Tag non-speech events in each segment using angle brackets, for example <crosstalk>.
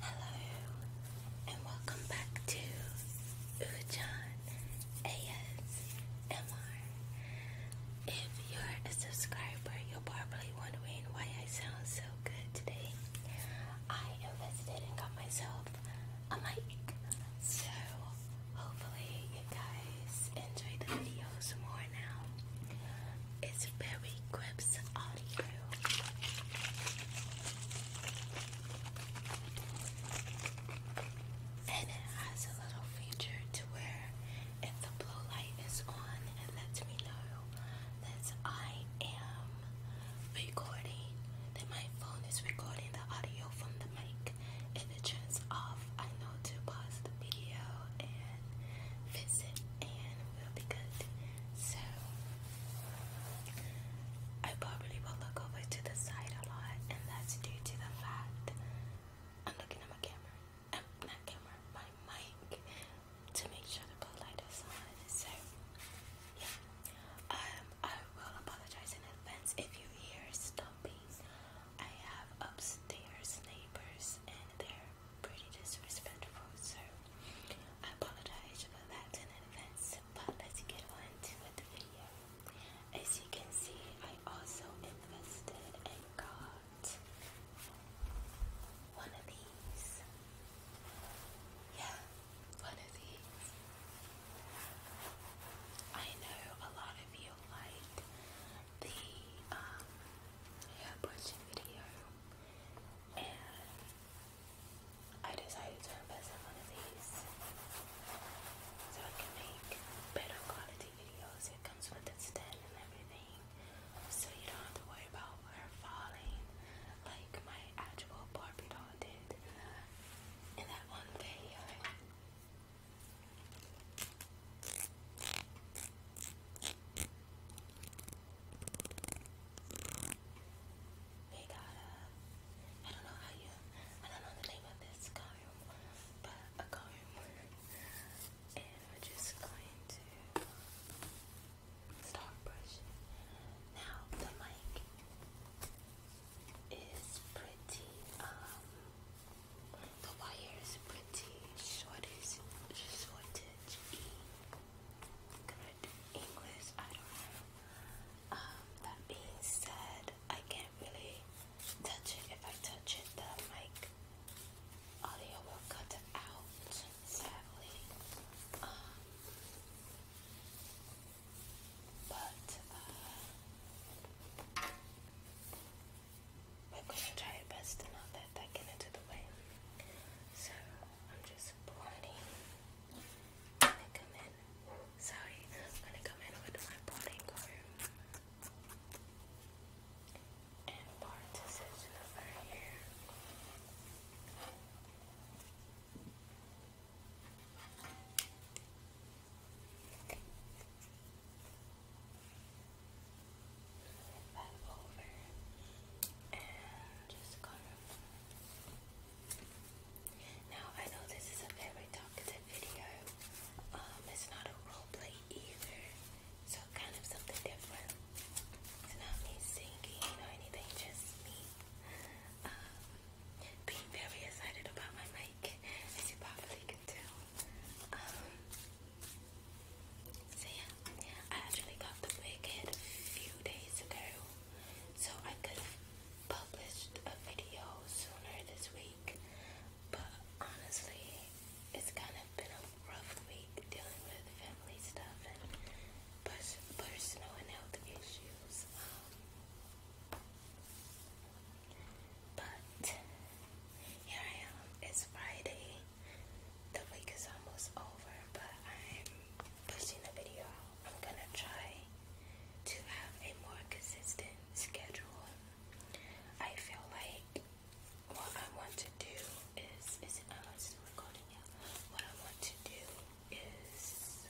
Hello and welcome back to Ujan ASMR. If you're a subscriber, you're probably wondering why I sound so good today. I invested and got myself a mic. So hopefully you guys enjoy the videos more now. It's very grips audio. And it has a little feature to where if the blue light is on, it lets me know that I am recording, that my phone is recording the audio from the mic back. If it turns I know to pause the video and visit, and we'll be good. So, I probably will look over to the side a lot, and that's due to the fact I'm looking at my camera, um, not camera, my mic, to make sure the light is on. So, yeah. Um, I will apologize in advance if you hear stomping. I have upstairs neighbors and they're pretty disrespectful, so I apologize for that in advance. But let's get on to the video. As you can see, I also invested and got one of these. Yeah, one of these. I know a lot of you liked the um, hair brushing video, and I decided to invest in one of these so I can make better quality videos. It comes with a stand and everything, so you don't have to worry about her falling like my actual Barbie doll all in that one video. They got a, I don't know how you, I don't know the name of this comb, but a comb. And we're just going to start brushing. Now the mic is pretty, um, the wire is pretty shortage, shortage good English, I don't know. Um, that being said, I can't really touch it. If I touch it, the mic audio will cut out, sadly. Um, but uh, we're gonna try our best to not let that get into the way. So I'm just blending. gonna come in. Sorry, I'm gonna come in with my blotting comb and part decision over here that over Now I know this is a very talkative video. Um, it's not a role either, so kind of something different. not me singing or anything, just me. Um, being very excited about my mic, as you probably can tell. Um, I actually got the wig head a few days ago, so I could have published a video sooner this week, but honestly, it's kind of been a rough week dealing with family stuff and personal and health issues. Um, but here I am. It's Friday. The week is almost over, but I'm pushing the video out. I'm gonna try to have a more consistent schedule. I feel like what I want to do is is it, I want to recording What I want to do is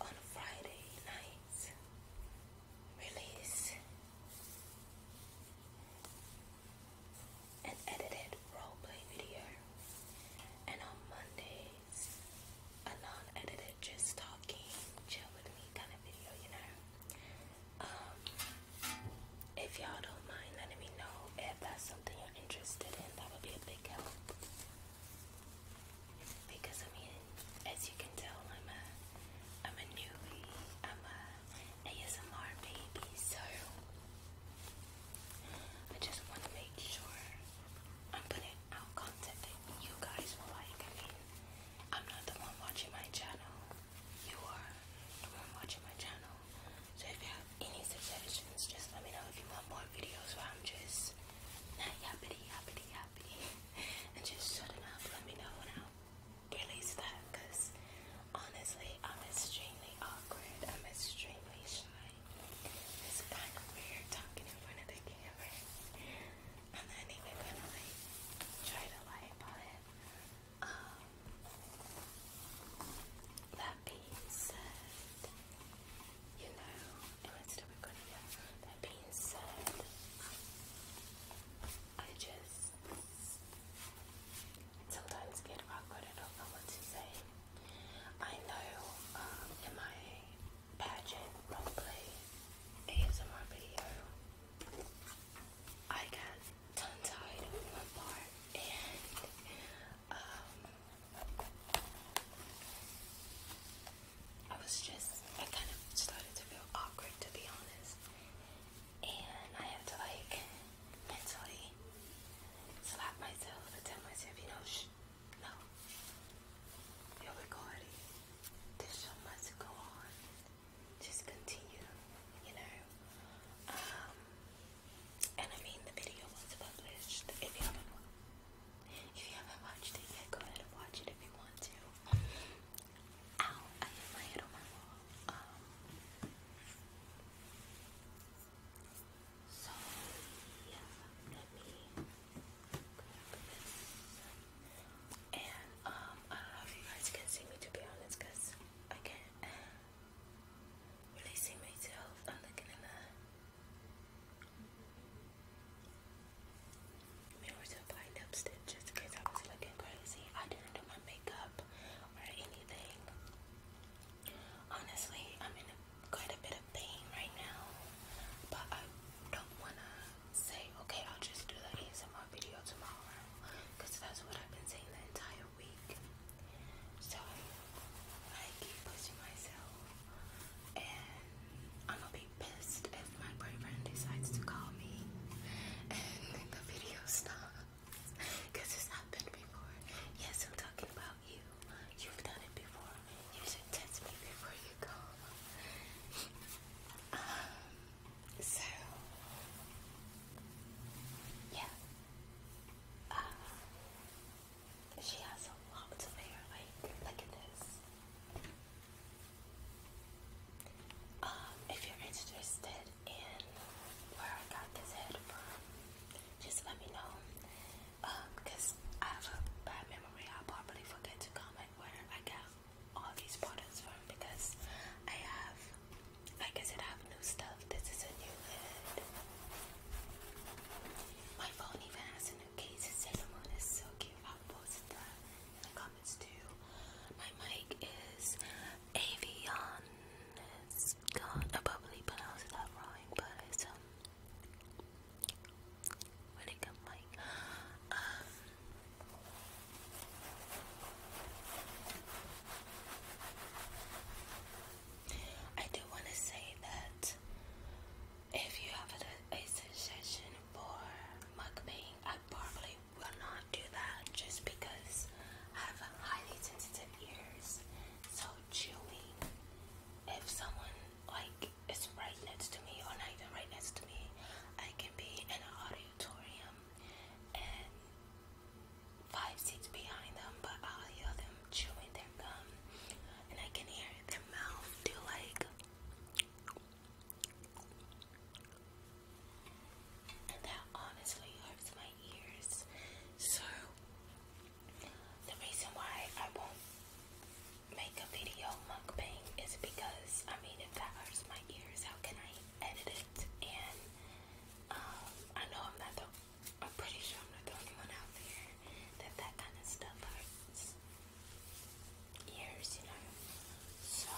on Friday night release an edited roleplay video, and on Mondays a non-edited just talking, chill with me kind of video, you know. Um, if y'all don't mind letting me know if that's something you're interested in, that would be a big help because I mean, as you can tell, I'm a I'm a newbie. I'm a ASMR baby, so I just want to make sure I'm putting out content that you guys will like. I mean, I'm not the one watching my channel. You are the one watching my channel. So if you have any suggestions, just let me know if you want more videos I'm just not yappity yappity yappity and just shut it up. Let me know when I release that because honestly, I'm extremely awkward. I'm extremely shy. It's kind of weird talking in front of the camera. I'm even gonna try to lie about it. Um, that being said, you know, Oh, I That being said, I just sometimes get awkward. I don't know what to say. I know um, in my pageant roleplay ASMR video, I got tongue tied on one part and um, I was just, I kind of started to feel awkward to be honest. And I have to like mentally slap myself and tell myself, you know, shh, no. You're recording. This show must go on. Just continue, you know. Um, and I mean, the video was published. If you haven't watched it yet, go ahead and watch it if you want to. Ow, I hit my head on my wall. Um, so, yeah, let me grab this. And, um, I don't know if you guys can see me to be honest, I can't really see myself. i in the Mirrors and applying lipstick just in case I was crazy. I didn't do my makeup or anything. Honestly, I'm in quite a bit of pain right now, but I don't wanna say, okay, I'll just do the ASMR video tomorrow, that's what I've been saying the entire week. So I keep pushing myself I'm gonna be pissed if my boyfriend decides to call me and the video stops because it's happened before. Yes, I'm talking about you. You've done it before. You should text me before you call. um, so, yeah. Uh, she has a lot of hair, like, look at this. Um, if you're interested in where I got this head from, just let me know. because um, I have a bad memory, i probably forget to comment where I got all these products from because I have, I said, I have new stuff. This is a new head. My phone even has new case of is so cute. I'll post that in the comments too. My mic is Avion. It's gone. I probably pronounced that wrong, but it's um really good mic. I do want to say that if you have a, a suggestion for mukbang, I probably will not do that just because I have highly sensitive ears. So chewing, if someone like is right next to me or not even right next to me, I can be in an auditorium and five seats behind them, but I'll hear them chewing their and I can hear their mouth do like. And that honestly hurts my ears. So, the reason why I won't make a video mukbang is because, I mean, if that hurts my ears, how can I edit it? And, um, I know I'm not the, I'm pretty sure I'm not the only one out there that that kind of stuff hurts ears, you know. So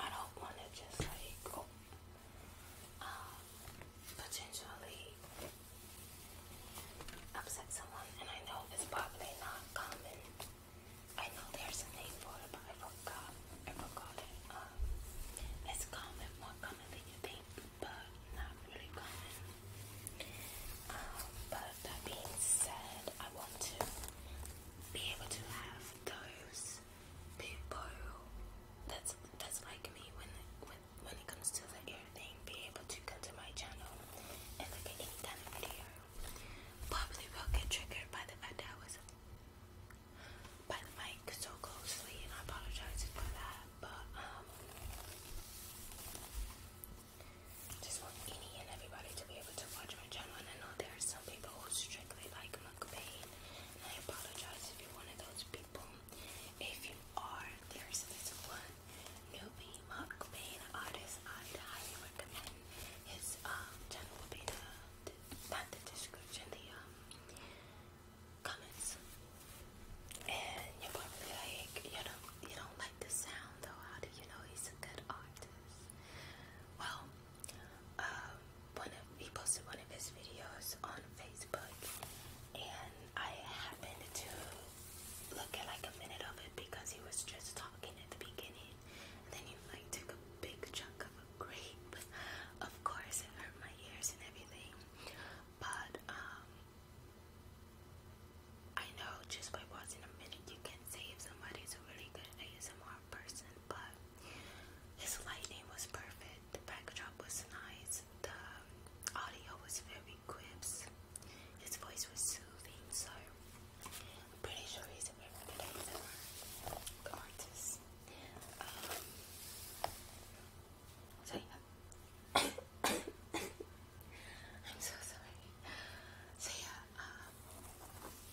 I don't want to just like oh, uh, potentially upset someone, and I know it's probably not common. I know there's a name for it, but I forgot. I forgot it. Uh, it's common, more common than you think but not really um, but that being said, I want to be able to have those people that's that's like me when when when it comes to the ear thing, be able to come to my channel and look at any kind of video. Probably will get triggered by the fact that I was by the mic so closely, and I apologize for that but um, just want any and everybody to be able to watch my channel. And I know there are some people who strictly like mukbang, and I apologize if you're one of those people. If you are, there's this one newbie mukbang artist i highly recommend. His um, channel not the description, the um comments and you're probably like, you know, you don't like the sound though. How do you know he's a good artist? Well, um, one of he posted one of his videos on Facebook, and I happened to look at like a minute of it because he was just talking at the beginning, and then he like took a big chunk of a grape. <laughs> Of course, it hurt my ears and everything, but um. I know just by watching a minute you can see if somebody's a really good ASMR person, but his lighting was perfect, the backdrop was nice, the audio was very crisp, his voice was soothing, so I'm pretty sure he's a very good ASMR artist. Um, so I'm so sorry. So yeah, um,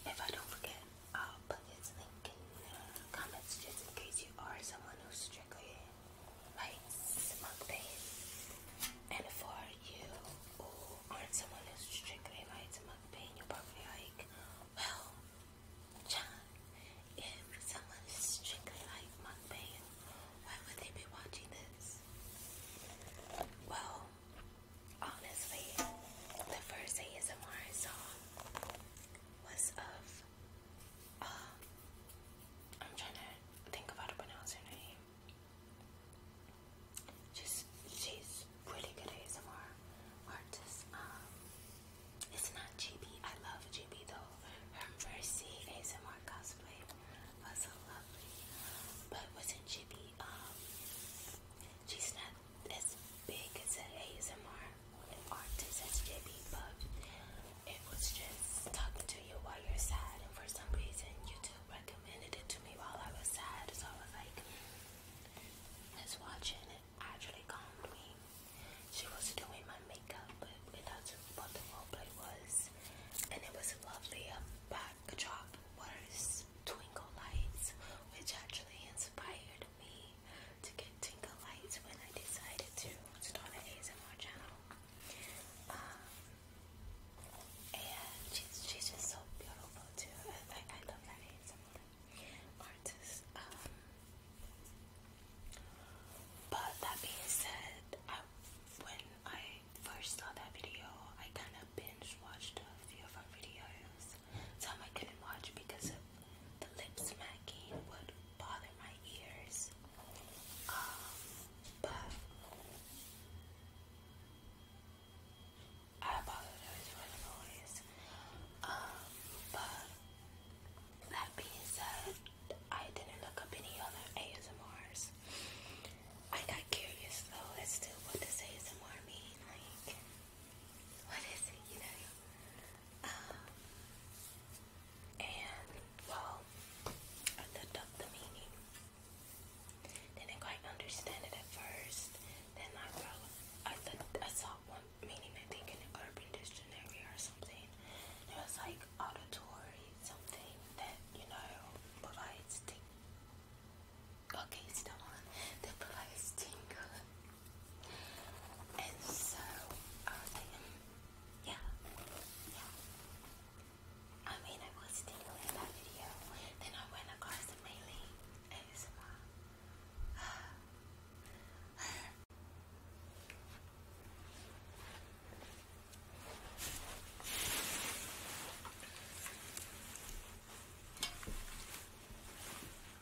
if I don't forget, I'll put this link in the comments just in case you are someone who strictly likes mukbang, and for you who aren't someone who strictly likes mukbang, you're probably like, well, John, if someone is strictly like mukbang. Why would they be watching this? Well, honestly, the first ASMR I was of, um, I'm trying to think of how to pronounce her name. She's, she's really good ASMR artist. Um, it's not GB. I love GB though. Her Mercy ASMR cosplay Oh, lovely. But wasn't Jimmy, um, she's not as big as an ASMR artist as Jimmy, but it was just talking to you while you're sad, and for some reason, YouTube recommended it to me while I was sad, so I was like, let's it, actually calmed me. She was doing my makeup, but it what the roleplay was and it was um, a lovely. backdrop was twinkle lights, which actually inspired me to get twinkle lights when I decided to start an ASMR channel. Um, and she's, just so beautiful too. I, love that ASMR artist. Um, but that being said, I, when I first saw that video, I kind of binge watched a few of her videos. Some I couldn't watch because of the lip smacking would bother my ears. Um, but I apologize for the noise. Um, but that being said, I didn't look up any other ASMRs. I got curious though as to what does ASMR mean, like what is it, you know? Um, and well, I looked up the meaning. Didn't quite understand it at first. Then I I saw one meaning I think in the Urban Dictionary or something something. It was like auditory something that you know provides ting. Okay, still on. That provides tingle. And so yeah, yeah. I mean, I was tingling in that video. Then I went across the mailing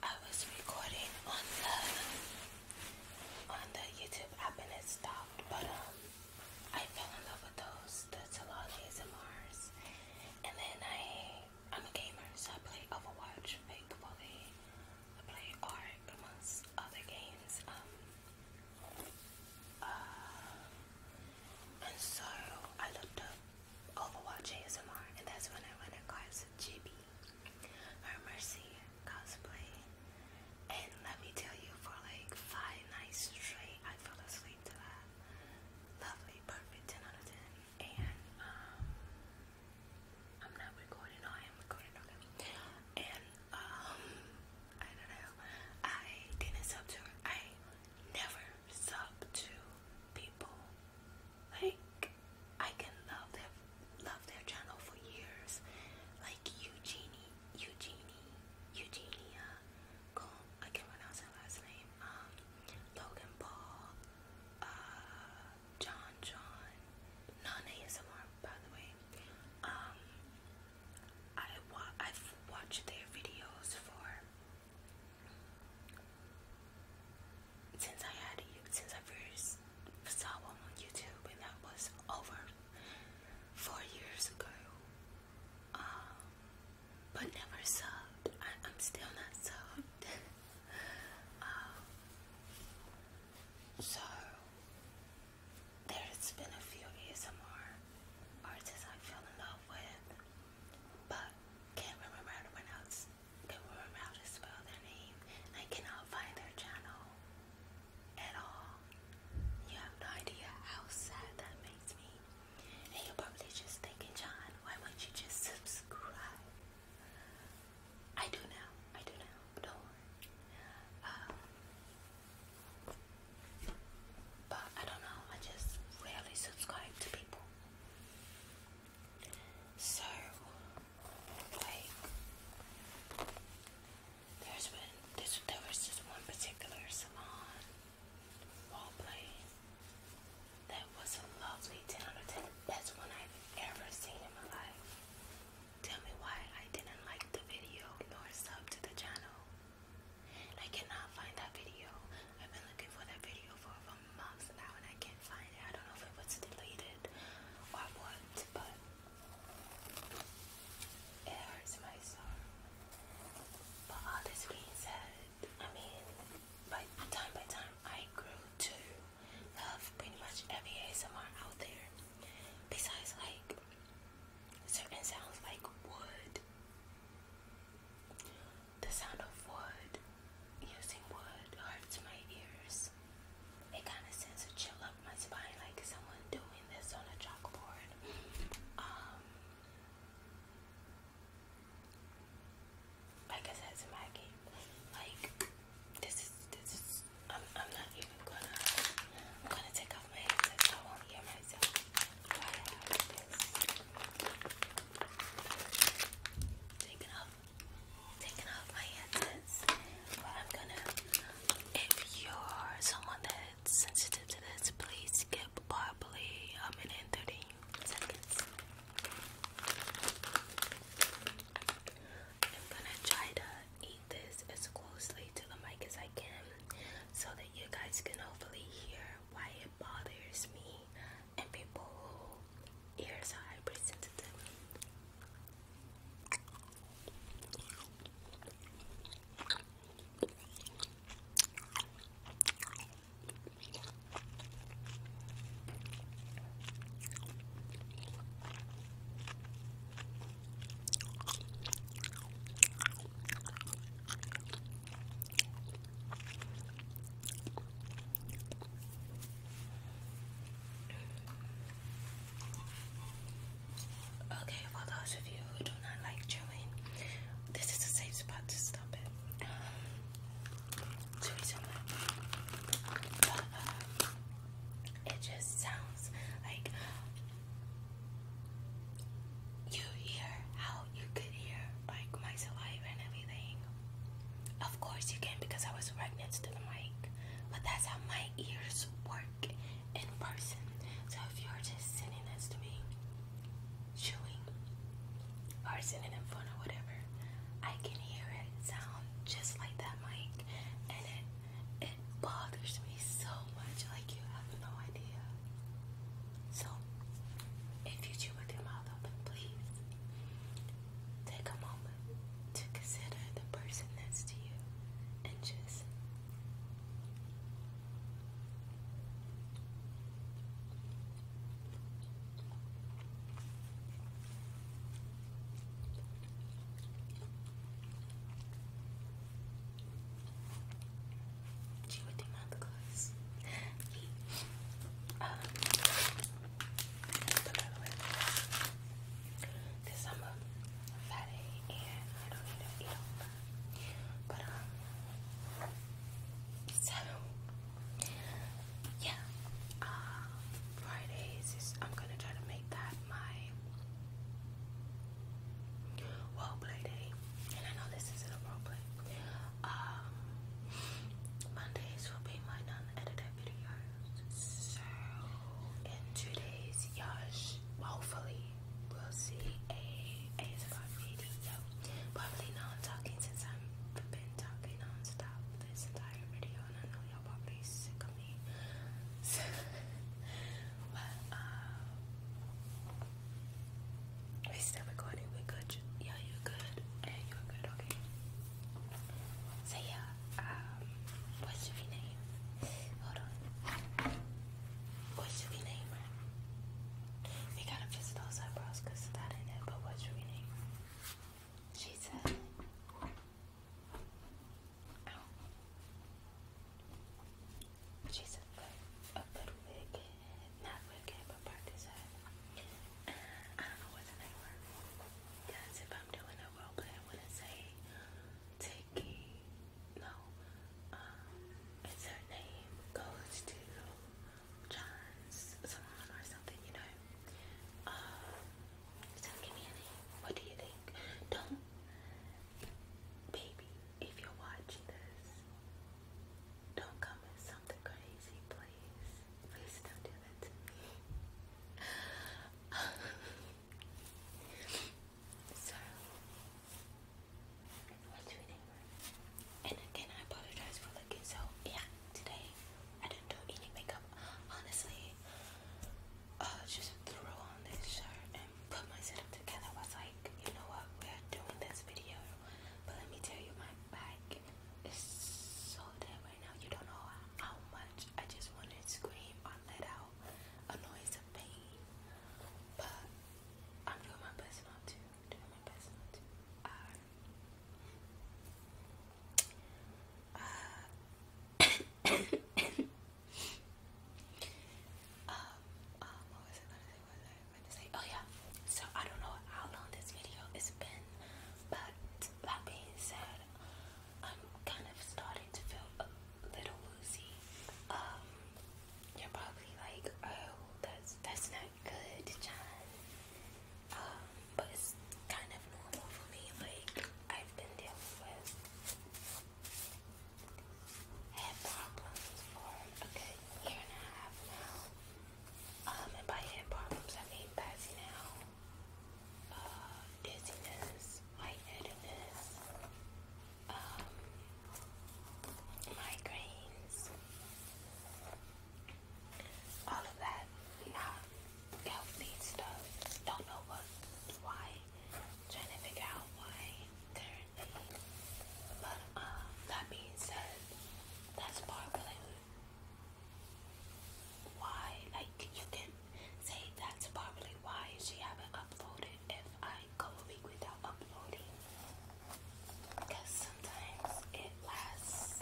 I was recording on the on the YouTube app and it stopped, but um I fell in love with those the Talages and Mars. And then I I'm a gamer, so I play Overwatch, Fake Bully, I play Ark amongst other games. Um, uh, and so I looked up Overwatch ASMR, and that's when I went across GB, her Mercy cosplay. And let me tell you, for like five nights straight, I fell asleep to that. Lovely, perfect 10 out of 10. And, um, I'm not recording, I am recording, okay. And, um, I don't know. I didn't sub to I never sub to people. Like I can love their love their channel for years. Like Eugenie, Eugenie, Eugenia. Cool. I can pronounce her last name. Um, Logan Paul, uh, John John, non ASMR by the way. Um, I wa have watched their videos for since I had since I first saw one on YouTube and that was over four years ago. Um, but never subbed. I, am still not subbed. <laughs> Um, so there's been a few ASMR artists I fell in love with, but can't remember how to pronounce, can't remember how to spell their name, I cannot find their channel at all. You have no idea how sad that makes me. And you're probably just thinking, John, why won't you just subscribe? I do now. I do now. Um, but I don't know, I just rarely subscribe to people. So, like, there's been, there was just one particular salon wall play that was a lovely 10 out of 10. one I've ever seen in my life. Tell me why I didn't like the video nor sub to the channel. I cannot find that video. I've been looking for that video for over months now and I can't find it. I don't know if it was deleted or what, but it hurts my soul. But all this being said, I mean, by time by time, I grew to love pretty much every ASMR out there. Besides, like, certain sounds like wood. The sound of wood, using wood, hurts my ears. It kind of sends a chill up my spine, like someone doing this on a chalkboard. Um, like I said to Maggie, like this is this is I'm I'm not even gonna I'm gonna take off my I won't hear myself. Why I do this? Taking off taking off my headsets. But I'm gonna if you're someone that's sensitive to this, please skip probably a minute and thirty seconds. I'm gonna try to eat this as closely to the mic as I can so that you guys can hopefully hear why it bothers me and people who ears are hypersensitive. Okay, for those of you who do not like chewing, this is a safe spot to stop it. Um, it just sounds like you hear how you could hear like my saliva and everything. Of course you can because I was right next to the mic. But that's how my ears work in person. So if you're just sitting next to me, chewing, or sitting in front or whatever, I can hear it sound just like that mic and it it bothers me so much, like you have no idea. So, if you chew with your mouth open, please take a moment to consider the person next to you and just she would take out the clothes. um, and I don't need to eat all that. But um, yeah, uh, Fridays I'm gonna try to make that my playing. play day. And I know this isn't a role play. Mondays um, will be my non-edited videos. So in two days, y'all hopefully we'll see a ASMR video. Probably not talking since I've been talking non-stop this entire video and I know y'all <laughs> um, we still good yeah, you're good and you're good, okay. So yeah, um what should name? Hold on. What should name We gotta fix those eyebrows because that ain't it, but what should name? She She's a good, a good wig, not wicked, but partisan. Uh, I don't know what the name word Yes, if I'm doing a role I want to say Tiki. No, um, it's her name goes to John's, someone or something, you know. Uh, so give me a What do you think? Don't, baby. If you're watching this, don't come with something crazy, please. Please don't do that to me. <laughs> so, what's your name? And again, I apologize for looking so. Yeah, today I didn't do any makeup honestly, uh, just threw on this shirt and put myself together. I was like, you know what, we are doing this video, but let me tell you, my back is so dead right now. You don't know how much I just want to scream or let out a noise of pain, but I'm doing my best not to. Doing my best not to. Uh, uh, <coughs> um, what was I gonna say? was I gonna say? Oh yeah. So I don't know how long this video has been, but that being said, I'm kind of starting to feel a little woozy. Um, you're probably like, oh, that's that's not good, John. Um, but it's kind of abnormal for me. Like I've been dealing with head problems for a year and a half now. Um, and by head problems I mean passing out, uh, um, migraines, all of that. Not healthy stuff. Don't know what, why. Trying to figure out why currently. But um, that being said, that sparkling why, like you can say that's probably why she haven't uploaded if I go a week without uploading. Because sometimes it lasts.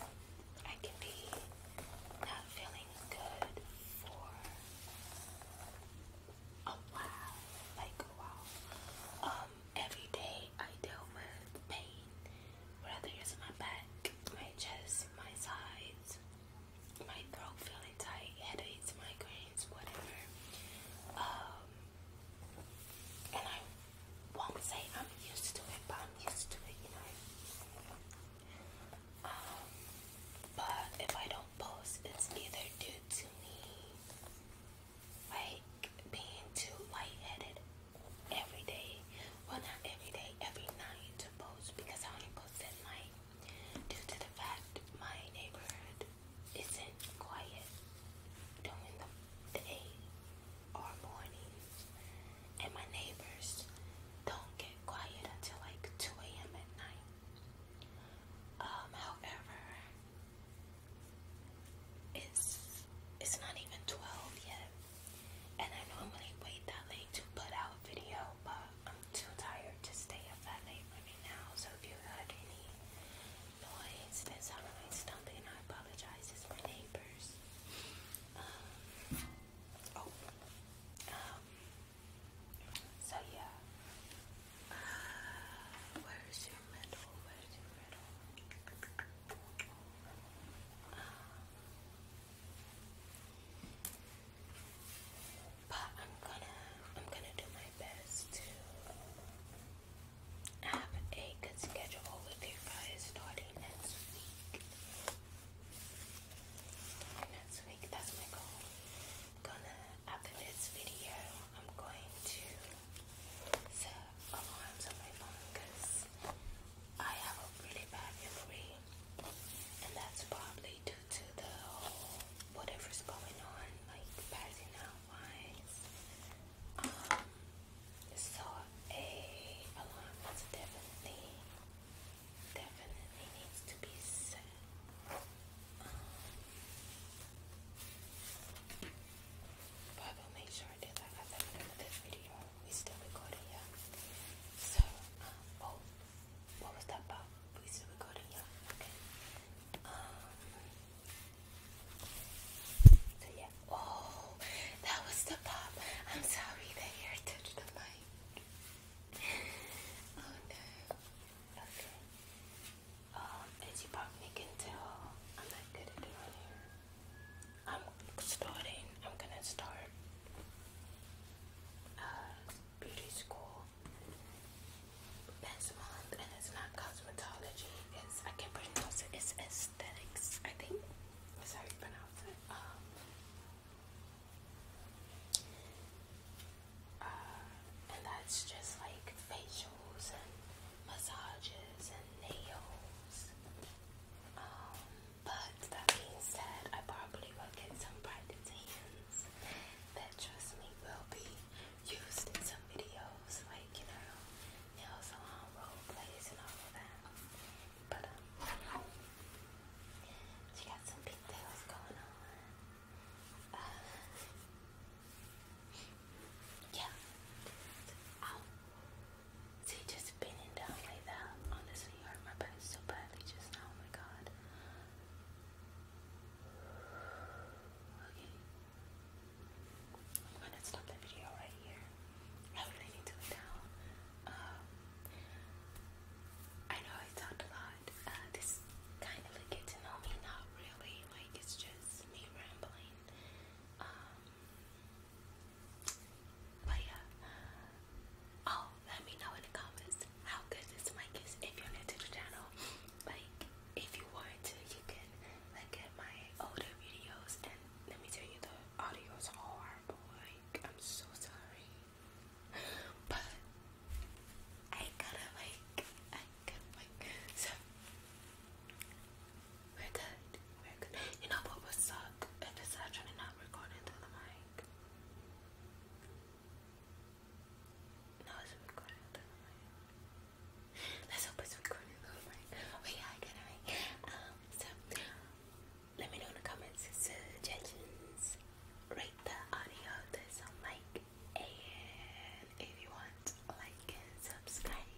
I can be not feeling good for a while, like a while. Um, every day I deal with pain, whether it's my back, my chest, my sides, my throat feeling tight, headaches, migraines, whatever. Um, and I won't say I'm used to it, but I'm used to it, you know. Um, but if I don't post, it's either due to me like being too light-headed every every day. Well, not every day, every night to post because I only post at night due to the fact my neighborhood isn't quiet during the day or mornings, and my neighbors don't get quiet until like 2 a.m. at night. Um, however, it's it's not even 12 yet, and I normally wait that late to put out a video, but I'm too tired to stay up that late right now. So if you heard any noise that's out of my stomach, and I apologize, it's my neighbors. Um, oh, um, so yeah. where's your middle? Where's your middle? but I'm gonna I'm gonna do my best to have a good schedule with you guys starting next week next week. That's my goal. Gonna after this video, I'm going to set alarms on my phone because I have a really bad memory, and that's probably due to the whole whatever's going on, like passing out wise. Um, so a alarm is definitely definitely needs to be said. Um, but I will make sure I do that at the end of this video. We still recording, yeah. So, um, oh, what was that about? We still recording, yeah. Okay. Um. So yeah. Oh, that was the pop. I'm sorry that your touched the mic. Okay. Um, as you probably can tell, I'm not good at doing hair. I'm starting, I'm gonna start uh, beauty school next month, and it's not cosmetology, it's, I can't pronounce it, it's aesthetics, I think. That's pronounce it. Um, uh, and that's just like facials and massages and nails. Um, but that being said, I probably will get some private hands that trust me will be used in some videos, like you know, nail salon role plays and all of that. But um, she got some pigtails going on. Uh, yeah. Ow. Um, see, just bending down like that. Honestly, hurt my back so badly just now. Oh my god. Okay. I'm gonna stop the video right here. I really need down. Um, I know I talked a lot. Uh, this kind of like get to know me, not really. Like it's just me rambling. Um, but yeah. Oh, let me know in the comments how good this mic is if you're new to the channel. Like, if you want to, you can look at my older videos and let me tell you the audio is horrible. Like, I'm so sorry. <laughs> But I gotta like, I gotta like. So we're good. We're good. You know what would suck if it's actually not recording through the mic. No, it's recording through the mic. Let's hope it's recording through the mic. Oh yeah, I get it right. Um, so let me know in the comments suggestions. Rate the audio that's on mic. And if you want, like subscribe.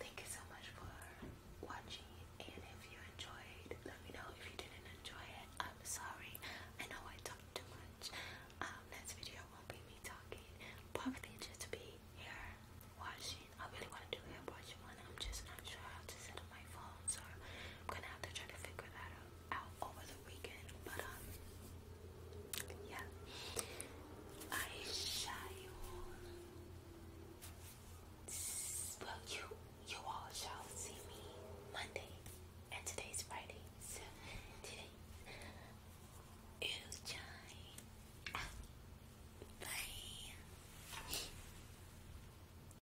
Thank you so much for watching. And if you enjoyed, let me know. If you didn't enjoy it, I'm sorry. I know I talked too much. Um, next video won't be me talking. Probably just be here watching. I really want to do hair washing one. I'm just not sure how to set up my phone so I'm gonna have to try to figure that out over the weekend. But um, yeah, I shall. Well, you you all shall see me Monday, and today's Friday, so today is time. Bye.